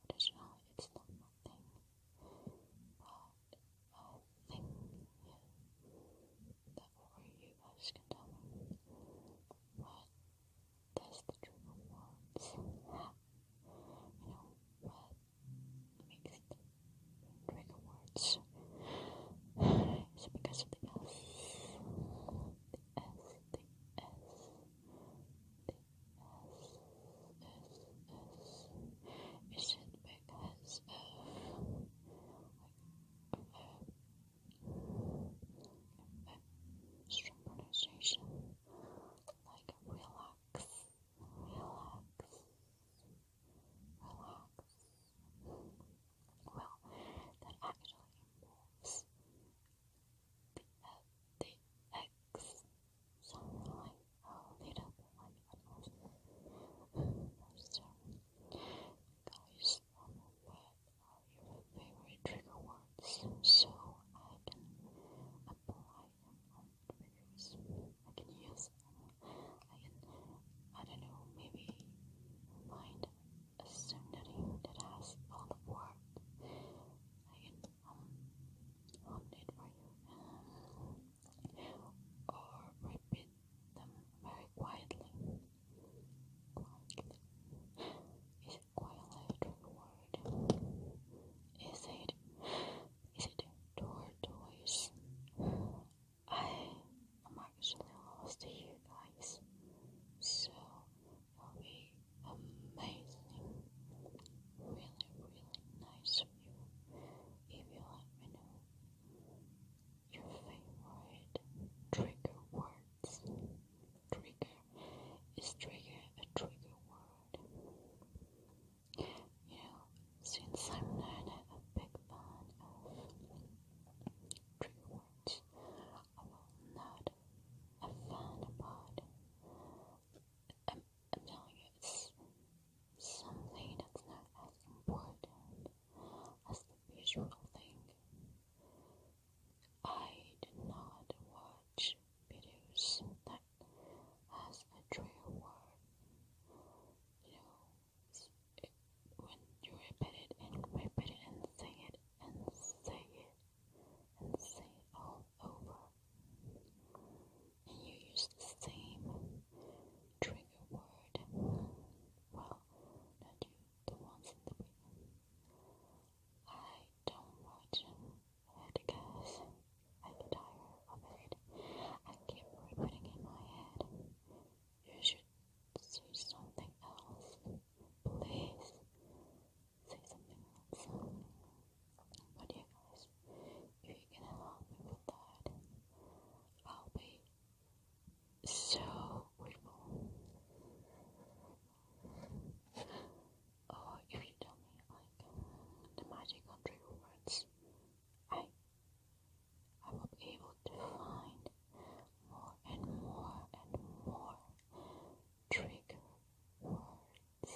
traditional, it's not my thing. But I that you guys can But that's the true rewards. You know, what makes it trigger words? It's because of the S. The S, the S, is it because of like uh, pronunciation like relax relax relax well that actually the, the X sounds like a Guys, what are your favorite trigger words so I can apply them on triggers? I can use I can, I don't know, maybe find a synonym that has all the words. I can um, it for you or repeat them very quietly. Quietly. Is it quietly a Is it is it door toys? I am actually lost to guys. So will be amazing. Really, really nice view if you let me know your favorite trigger words. Trigger is trigger a trigger word. You know, since I'm not a big fan of trigger words, I will not a pod. i I'm telling you, it's something that's not as important as the visual thing. I did not watch videos that has a trigger word. You know, it, when you repeat it and repeat it and say it and say it and say all over. And you use the same trigger word. Well, not you, the ones in the beginning. I don't watch it I'm tired of it. I keep repeating in my head. You should say something else please say something else. But yeah guys, if you can help me with that, I'll be so grateful. Or if you tell me like the magic words, I I will be able to find more and more and more trigger words.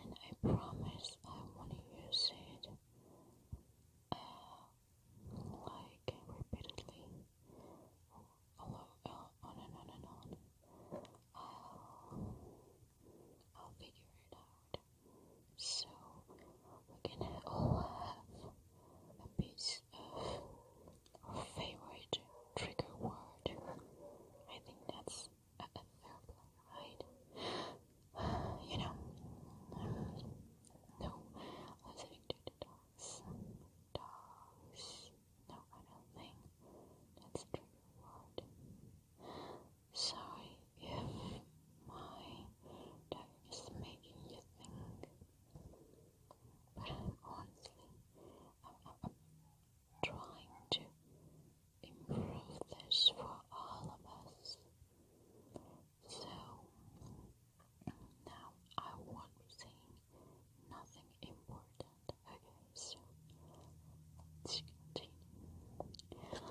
And I promise I want to use it uh, like repeatedly, on and on and on. I'll, I'll figure it out. So we can all have a piece of our favorite trigger word. I think that's a, a right? You know, no, listening to dogs. Dogs. No, I don't think that's a trigger word. Sorry why they making you think. But honestly, I'm trying to improve this for all of us. So now I won't be saying nothing important. Okay, so let's continue